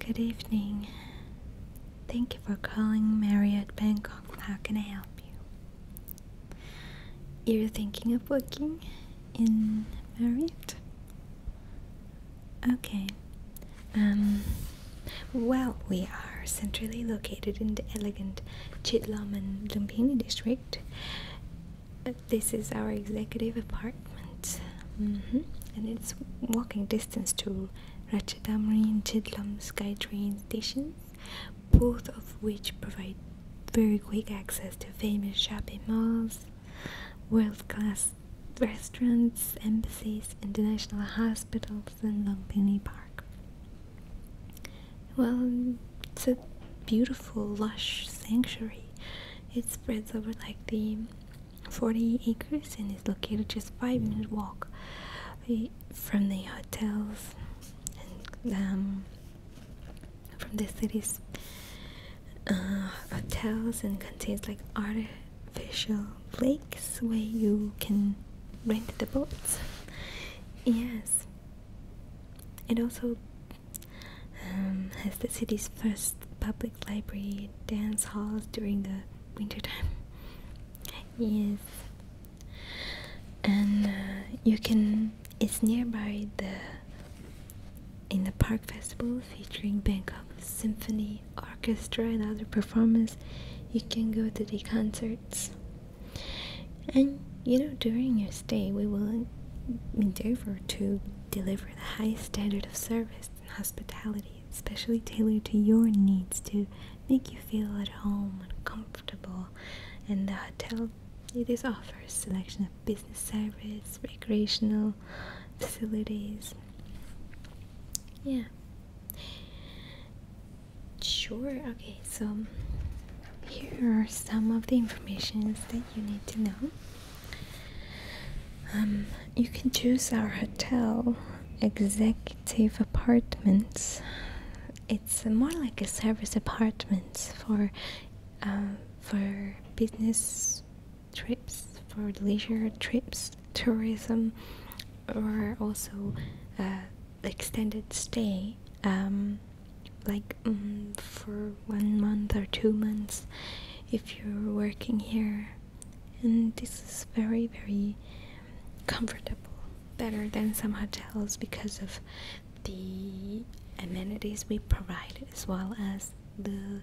Good evening. Thank you for calling Marriott Bangkok. How can I help you? You're thinking of booking in Marriott? Okay. Um well, we are centrally located in the elegant Chitlam and Lumpini district. This is our executive apartment, mm-hmm. and it's walking distance to Ratchadamri and Chidlam SkyTrain stations, both of which provide very quick access to famous shopping malls, world-class restaurants, embassies, international hospitals, and Lumpini Park. Well, it's a beautiful, lush sanctuary. It spreads over like the 40 acres and is located just five minutes walk eh, from the hotels and um, from the city's uh, hotels and contains like artificial lakes where you can rent the boats yes it also um, the city's first public library dance halls during the wintertime. yes. And uh, you can, it's nearby the in the park festival featuring Bangkok Symphony Orchestra and other performers. You can go to the concerts. And you know, during your stay, we will endeavor to deliver the highest standard of service and hospitality, especially tailored to your needs to make you feel at home and comfortable. And the hotel it is offers selection of business service, recreational facilities. Yeah. Sure. Okay, so here are some of the informations that you need to know. Um, you can choose our hotel, Executive Apartments. It's more like a service apartments for, um, for business trips, for leisure trips, tourism, or also uh, extended stay. Um, like mm, for one month or two months if you're working here and this is very very comfortable better than some hotels because of the amenities we provide as well as the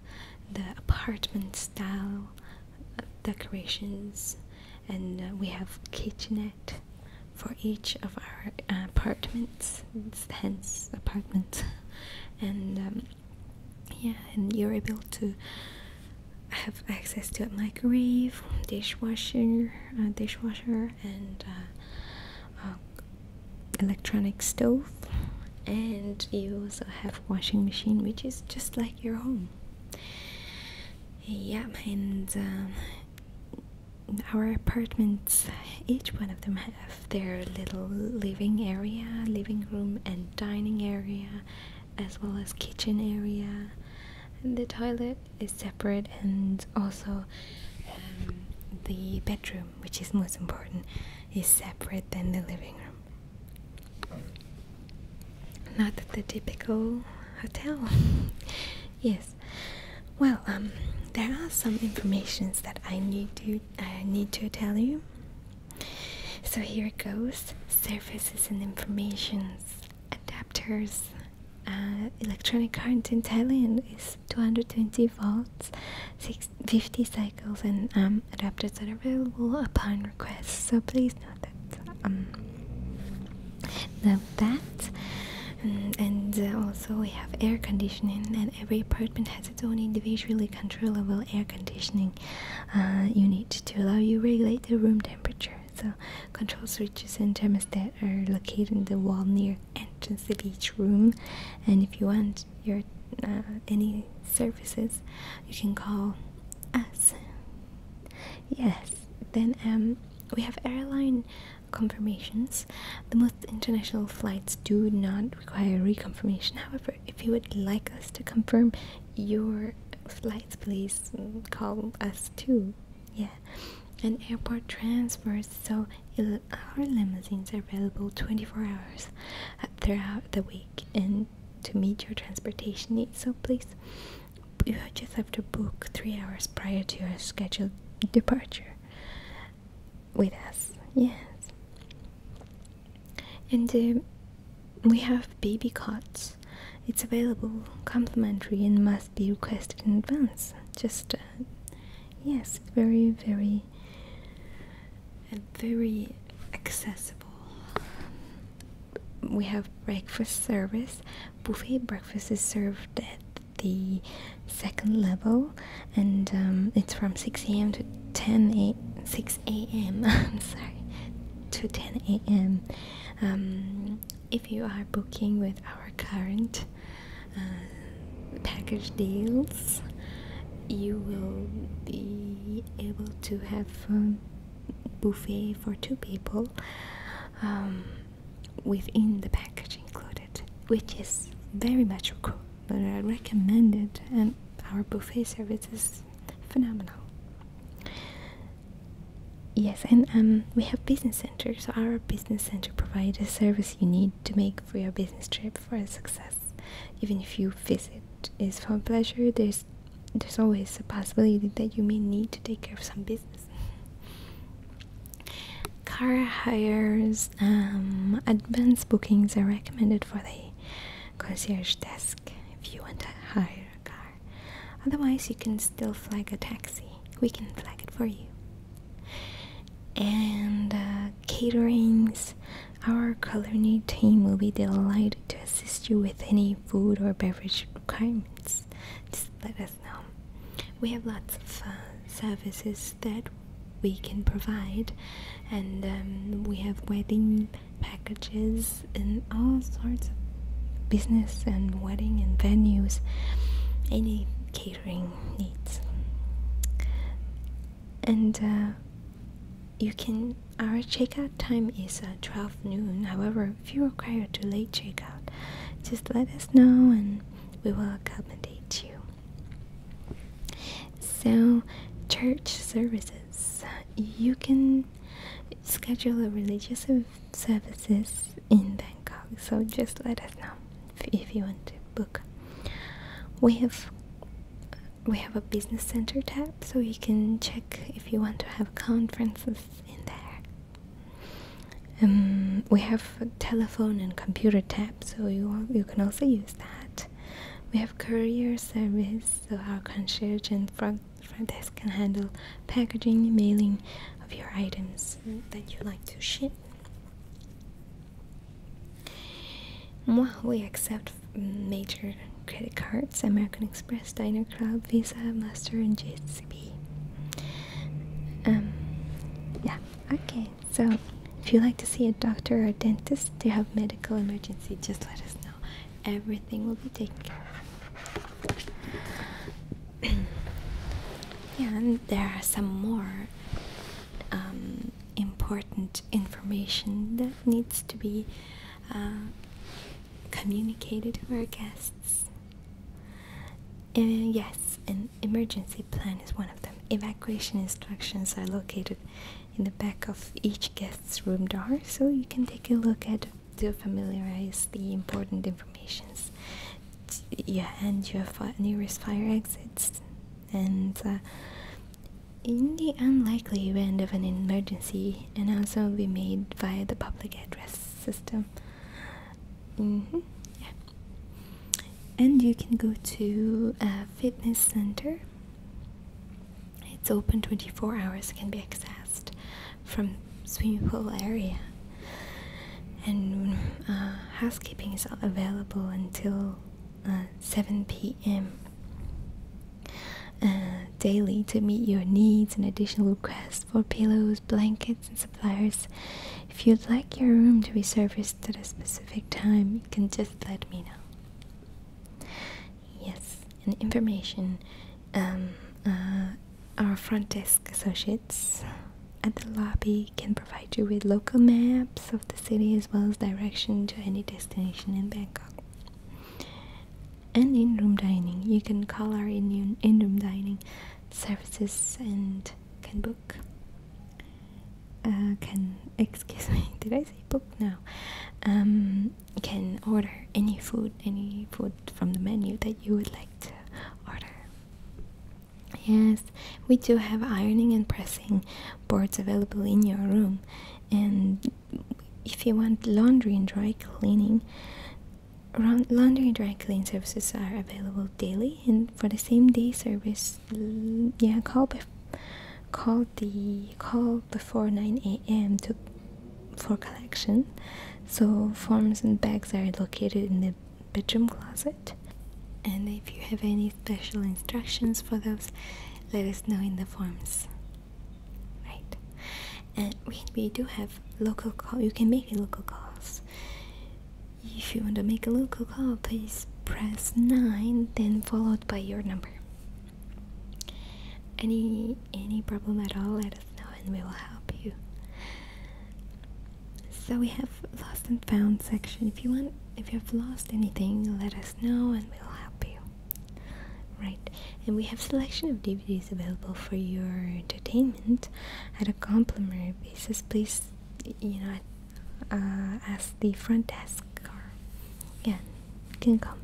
the apartment style uh, decorations and uh, we have kitchenette for each of our uh, apartments hence apartments and um, yeah and you're able to have access to a microwave dishwasher dishwasher and uh, electronic stove and you also have washing machine which is just like your home yeah and uh, our apartments each one of them have their little living area, living room, and dining area, as well as kitchen area. And the toilet is separate, and also um, the bedroom, which is most important, is separate than the living room. Not the typical hotel. yes. Well, um, there are some informations that I need to I need to tell you. So here it goes services and informations, adapters. Uh, electronic current in Thailand is 220 volts, 50 cycles, and um, adapters are available upon request. So please note that. Um, note that. Mm, and uh, also we have air conditioning, and every apartment has its own individually controllable air conditioning uh, unit to allow you regulate the room temperature. So control switches and thermostat are located in the wall near entrance of each room, and if you want your uh, any services, you can call us. Yes, then um, we have airline confirmations. The most international flights do not require reconfirmation. However, if you would like us to confirm your flights, please call us too. Yeah, and airport transfers. So our limousines are available 24 hours throughout the week, and to meet your transportation needs. So please, you just have to book three hours prior to your scheduled departure with us, yes. And um, we have baby cots. It's available, complimentary, and must be requested in advance. Just, uh, yes, very, very, uh, very accessible. We have breakfast service. Buffet breakfast is served at the second level and um, it's from 6 a.m. to 10 6 a.m. I'm sorry to 10 a.m. Um, if you are booking with our current uh, package deals, you will be able to have um, buffet for two people um, within the package included, which is very much cool but I recommend it, and our buffet service is phenomenal. Yes, and um, we have business center. So our business center provides the service you need to make for your business trip for a success. Even if you visit is for pleasure, there's there's always a possibility that you may need to take care of some business. Car hires um, advanced bookings are recommended for the concierge desk if you want to hire a car. Otherwise, you can still flag a taxi. We can flag it for you. And uh, caterings, our culinary team will be delighted to assist you with any food or beverage requirements. Just let us know. We have lots of uh, services that we can provide and um, we have wedding packages in all sorts of business and wedding and venues any catering needs and uh, you can our checkout time is uh, 12 noon however if you require too late checkout just let us know and we will accommodate you so, church services. You can schedule a religious services in Bangkok. So just let us know if you want to book. We have we have a business center tab, so you can check if you want to have conferences in there. Um, we have a telephone and computer tab, so you you can also use that we have courier service so our concierge and front, desk can handle packaging and mailing of your items that you like to ship we accept major credit cards American Express, Diner Club, Visa, Master, and JCB. Um, yeah, okay so if you like to see a doctor or dentist to have medical emergency, just let us know. Everything will be taken care of. and there are some more um, important information that needs to be uh, communicated to our guests. Uh, yes, an emergency plan is one of them. Evacuation instructions are located in the back of each guest's room door so you can take a look at to familiarize the important informations yeah and your nearest fire exits and uh, in the unlikely event of an emergency announcement will be made via the public address system mm -hmm, yeah. and you can go to a fitness center it's open 24 hours, can be accessed from swimming pool area. And uh, housekeeping is available until uh, 7 p.m. Uh, daily to meet your needs and additional requests for pillows, blankets, and supplies. If you'd like your room to be serviced at a specific time, you can just let me know. Yes, and information. Um, uh, our front desk associates at the lobby can provide you with local maps of the city as well as direction to any destination in Bangkok. And in room dining, you can call our in, in room dining services and can book uh, can excuse me did i say book now um, can order any food any food from the menu that you would like to order yes we do have ironing and pressing boards available in your room and if you want laundry and dry cleaning laundry and dry cleaning services are available daily and for the same day service yeah call call the call before 9 a.m. to for collection. So forms and bags are located in the bedroom closet. And if you have any special instructions for those, let us know in the forms. Right. And we, we do have local call. You can make local calls. If you want to make a local call, please press 9, then follow by your number. Any any problem at all, let us know and we will help you. So we have lost and found section. If you want if you have lost anything, let us know and we'll help you. Right. And we have selection of DVDs available for your entertainment at a complimentary basis. Please you know, at uh, as the front desk or yeah you can call me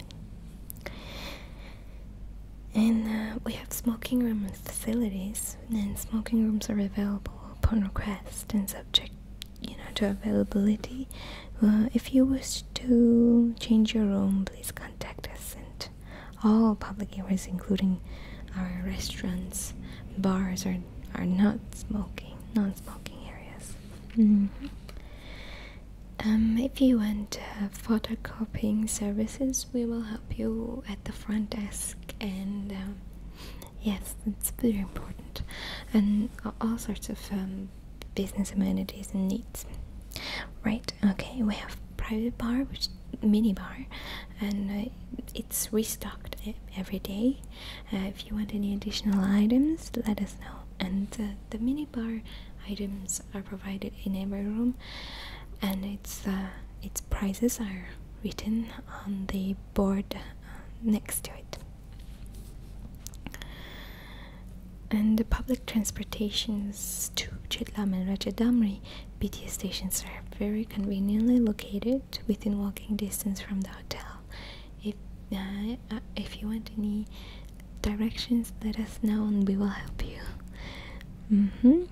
and uh, we have smoking room facilities and smoking rooms are available upon request and subject you know to availability uh, if you wish to change your room please contact us and all public areas including our restaurants bars are, are not smoking non-smoking areas Mm-hmm. um, if you want photocopying services, we will help you at the front desk. And um, yes, it's very important, and all sorts of um, business amenities and needs. Right? Okay, we have private bar, which mini bar, and uh, it's restocked every day. Uh, if you want any additional items, let us know. And uh, the minibar items are provided in every room, and its uh, its prices are written on the board uh, next to it. And the public transportations to Chitlam and Rajadamri BTS stations are very conveniently located within walking distance from the hotel if uh, uh, if you want any directions let us know and we will help you mm-hmm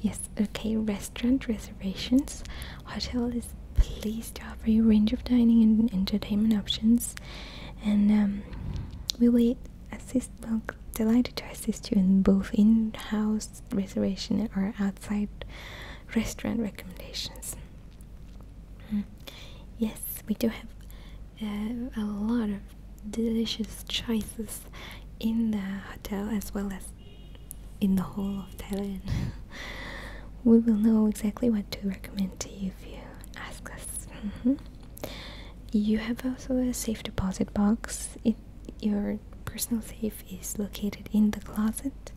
yes okay restaurant reservations hotel is pleased to offer a range of dining and entertainment options and um, we will assist delighted to assist you in both in-house reservation or outside restaurant recommendations Mm. Yes, we do have uh, a lot of delicious choices in the hotel as well as in the whole of Thailand. we will know exactly what to recommend to you if you ask us. Mm-hmm. You have also a safe deposit box. in your personal safe is located in the closet.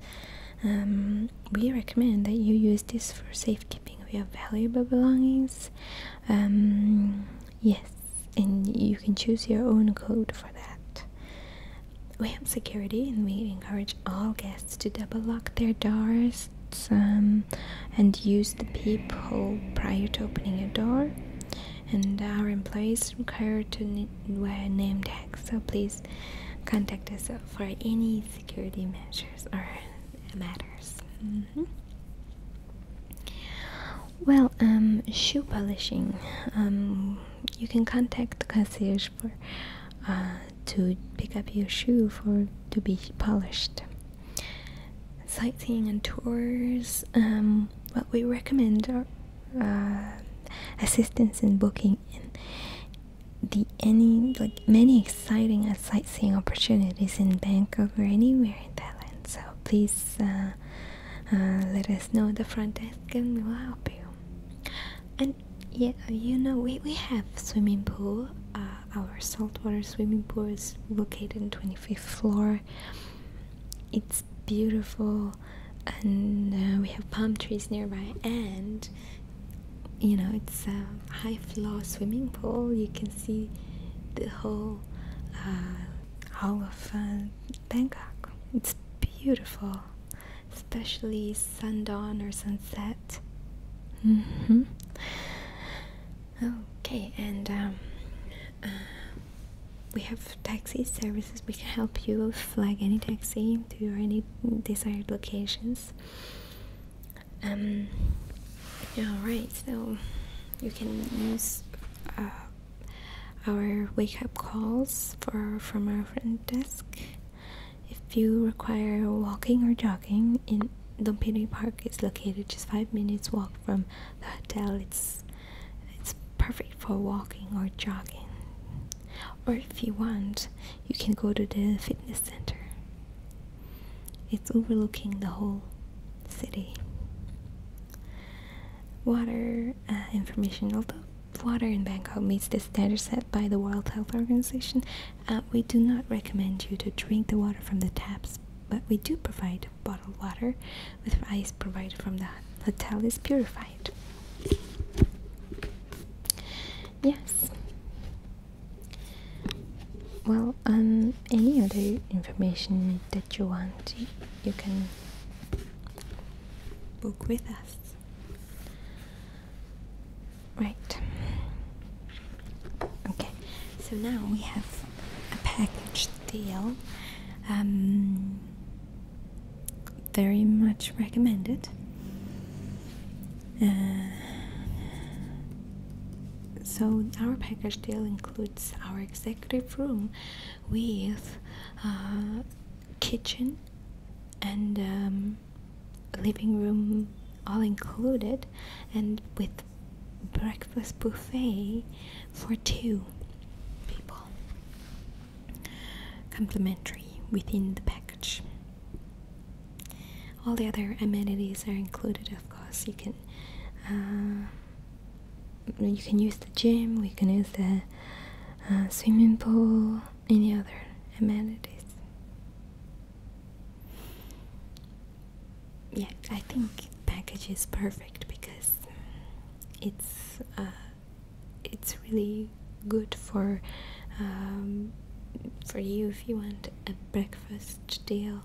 Um, we recommend that you use this for safekeeping of your valuable belongings. Um, yes, and you can choose your own code for that. We have security and we encourage all guests to double lock their doors um, and use the peep hole prior to opening a door. And our employees require to wear name tags, so please contact us for any security measures or matters. Mm-hmm. Well, um, shoe polishing. Um, you can contact the concierge for uh, to pick up your shoe for to be polished. Sightseeing and tours. Um, what we recommend are uh, assistance in booking and the any like many exciting sightseeing opportunities in Bangkok or anywhere in Thailand. So please uh, uh, let us know the front desk and we will help you. And yeah, you know we we have swimming pool. Uh, our saltwater swimming pool is located in twenty fifth floor. It's beautiful and uh, we have palm trees nearby and you know it's a high floor swimming pool you can see the whole uh, all of uh, bangkok it's beautiful especially sundown or sunset mm-hmm. okay and um, uh, we have taxi services we can help you flag any taxi to any desired locations. Um, alright, so you can use uh, our wake up calls for from our front desk. If you require walking or jogging, in Dompini Park is located just five minutes walk from the hotel. It's it's perfect for walking or jogging. Or if you want, you can go to the fitness center. It's overlooking the whole city. Water uh, information. Although water in Bangkok meets the standard set by the World Health Organization, uh, we do not recommend you to drink the water from the taps, but we do provide bottled water with ice provided from the hotel is purified. Yes. Well, um, any other information that you want, you can book with us. Right. Okay. So now we have a package deal. Um, very much recommended. Uh, so our package deal includes our executive room with uh, kitchen and um, living room all included and with breakfast buffet for two people Complementary within the package. All the other amenities are included, of course. You can uh, you can use the gym, we can use the uh, swimming pool, any other amenities. Yeah, I think package is perfect because it's. Uh, it's really good for um, for you if you want a breakfast deal.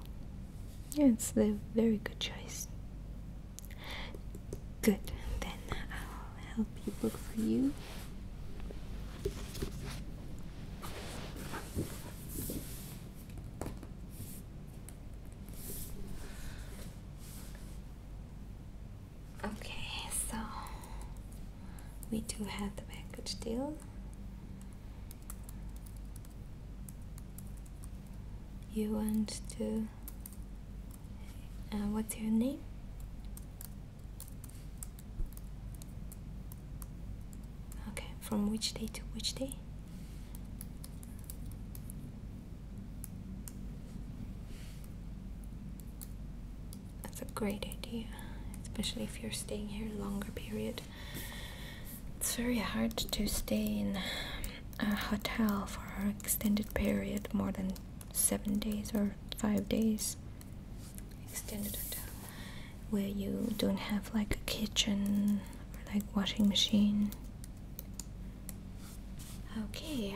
Yeah, it's a very good choice. Good, then I'll help you look for you. Okay, so we do have the package deal. You want to. Uh, what's your name? Okay, from which day to which day? That's a great idea, especially if you're staying here a longer period. It's very hard to stay in a hotel for an extended period, more than seven days or five days. Extended hotel, where you don't have like a kitchen or like washing machine. Okay,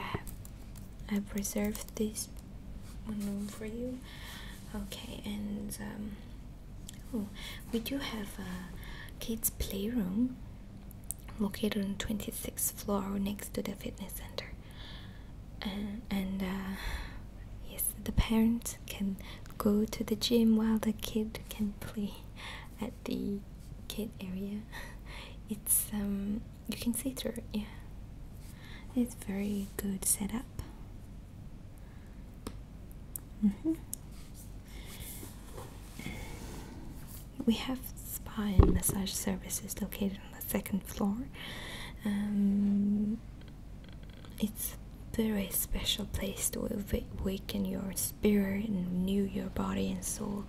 I've reserved these one room for you. Okay, and um, oh, we do have a kids' playroom located on 26th floor next to the fitness center. And, uh, yes, the parents can go to the gym while the kid can play at the kid area. It's um you can see through it, yeah. It's very good setup. Mm -hmm. We have spa and massage services located on the second floor. Um, it's very special place to awaken your spirit and renew your body and soul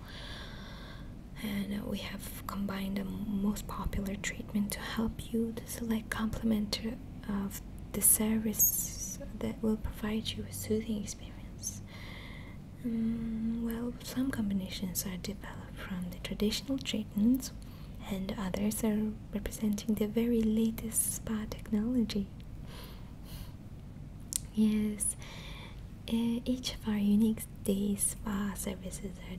and uh, we have combined the most popular treatment to help you to select complement uh, of the service that will provide you a soothing experience. Mm, well, some combinations are developed from the traditional treatments, and others are representing the very latest spa technology. Yes, eh, each of our unique these spa services are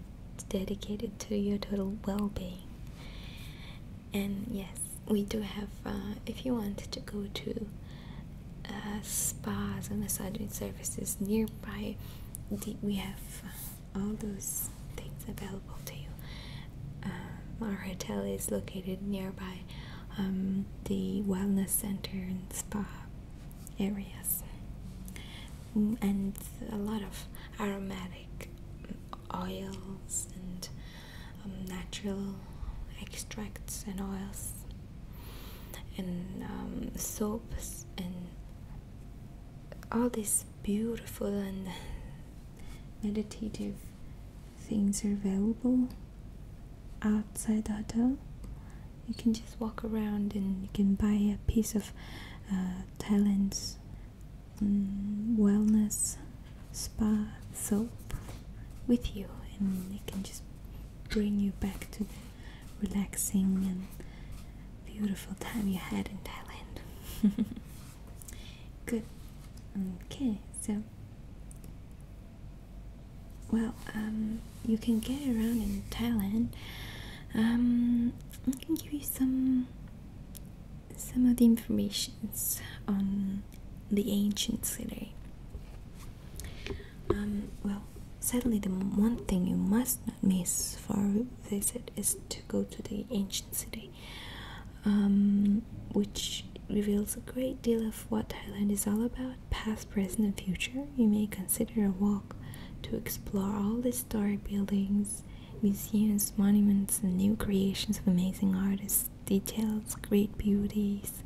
dedicated to your total well-being and yes we do have uh, if you want to go to uh, spas and massaging services nearby we have uh, all those things available to you uh, our hotel is located nearby um, the wellness center and spa areas and a lot of aromatic oils and um, natural extracts and oils and um, soaps and all these beautiful and meditative things are available outside the hotel you can just walk around and you can buy a piece of uh, Thailand's mm, wellness spa soap with you, and it can just bring you back to the relaxing and beautiful time you had in Thailand. Good. Okay, so well, um, you can get around in Thailand. Um, I can give you some some of the informations on the ancient city. Um, well, sadly, the one thing you must not miss for they said, is to go to the ancient city, um, which reveals a great deal of what Thailand is all about, past, present, and future. You may consider a walk to explore all this historic buildings, museums, monuments, and new creations of amazing artists, details, great beauties.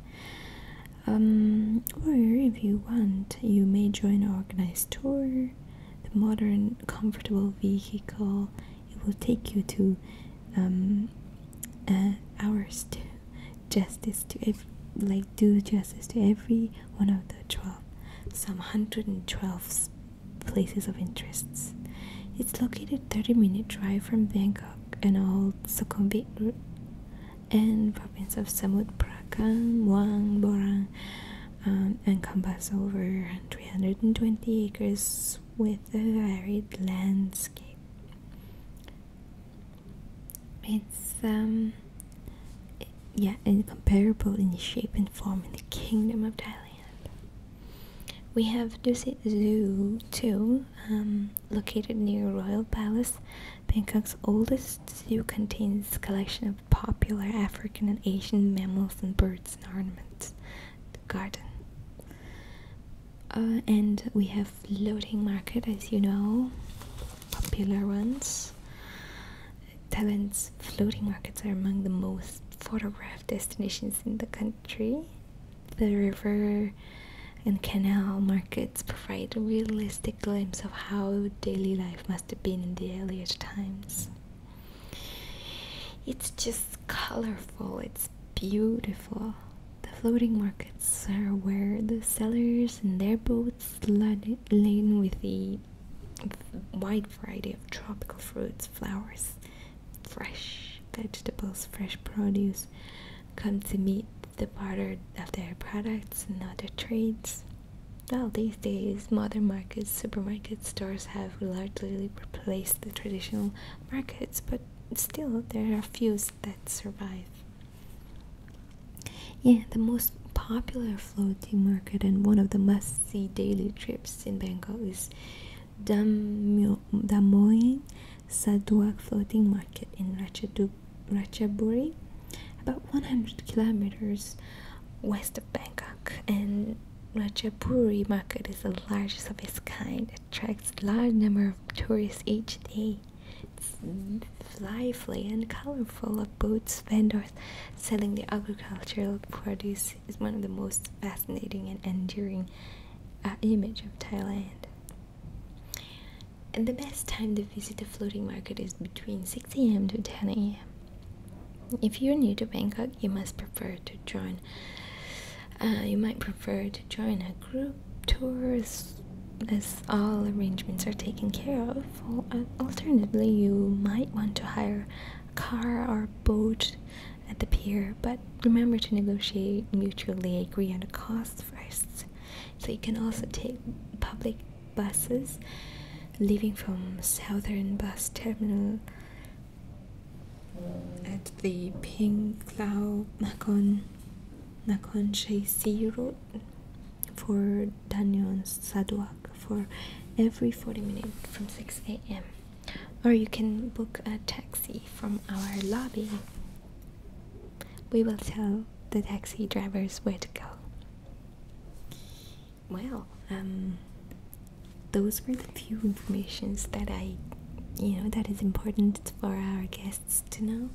Um, or if you want, you may join an organized tour, the modern, comfortable vehicle. It will take you to um, hours uh, to justice to every, like do justice to every one of the 12 some 112 places of interests. It's located 30 minute drive from Bangkok and old Sukhumvit route and province of Samut Prakan, Muang, Borang um, and encompass over 320 acres with a varied landscape. It's um yeah, incomparable in shape and form in the kingdom of Thailand. We have Dusit Zoo too, um, located near Royal Palace. Bangkok's oldest zoo contains collection of popular African and Asian mammals and birds and ornaments. The garden. Uh, and we have floating market, as you know, popular ones. Thailand's floating markets are among the most photographed destinations in the country. The river and canal markets provide a realistic glimpse of how daily life must have been in the earliest times. It's just colorful, it's beautiful. The floating markets are where the sellers and their boats laden with the wide variety of tropical fruits, flowers, fresh vegetables, fresh produce. Come to meet the barter of their products and other trades. Now these days, modern markets, supermarkets, stores have largely replaced the traditional markets, but still, there are few that survive. Yeah, the most popular floating market and one of the must-see daily trips in Bangkok is Damoyang Saduak Floating Market in Ratchaburi, about 100 kilometers west of Bangkok. And Ratchaburi market is the largest of its kind, attracts large number of tourists each day. It's lively and colorful of boats, vendors, selling the agricultural produce is one of the most fascinating and enduring uh, image of Thailand. And the best time to visit the floating market is between 6 a.m. to 10 a.m. If you're new to Bangkok, you must prefer to join. Uh, you might prefer to join a group tour as all arrangements are taken care of, alternatively, you might want to hire a car or boat at the pier, but remember to negotiate mutually agree on the cost first. So you can also take public buses leaving from Southern Bus Terminal at the Ping Lao Nakon Nakon Shai Road for Danyon Saduak for every 40 minutes from 6 a.m. Or you can book a taxi from our lobby. We will tell the taxi drivers where to go. Well, um, those were the few informations that I, you know, that is important for our guests to know,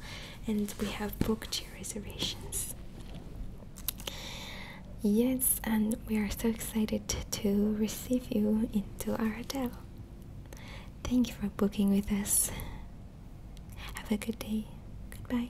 and we have booked your reservations. Yes, and we are so excited to receive you into our hotel. Thank you for booking with us. Have a good day. Goodbye.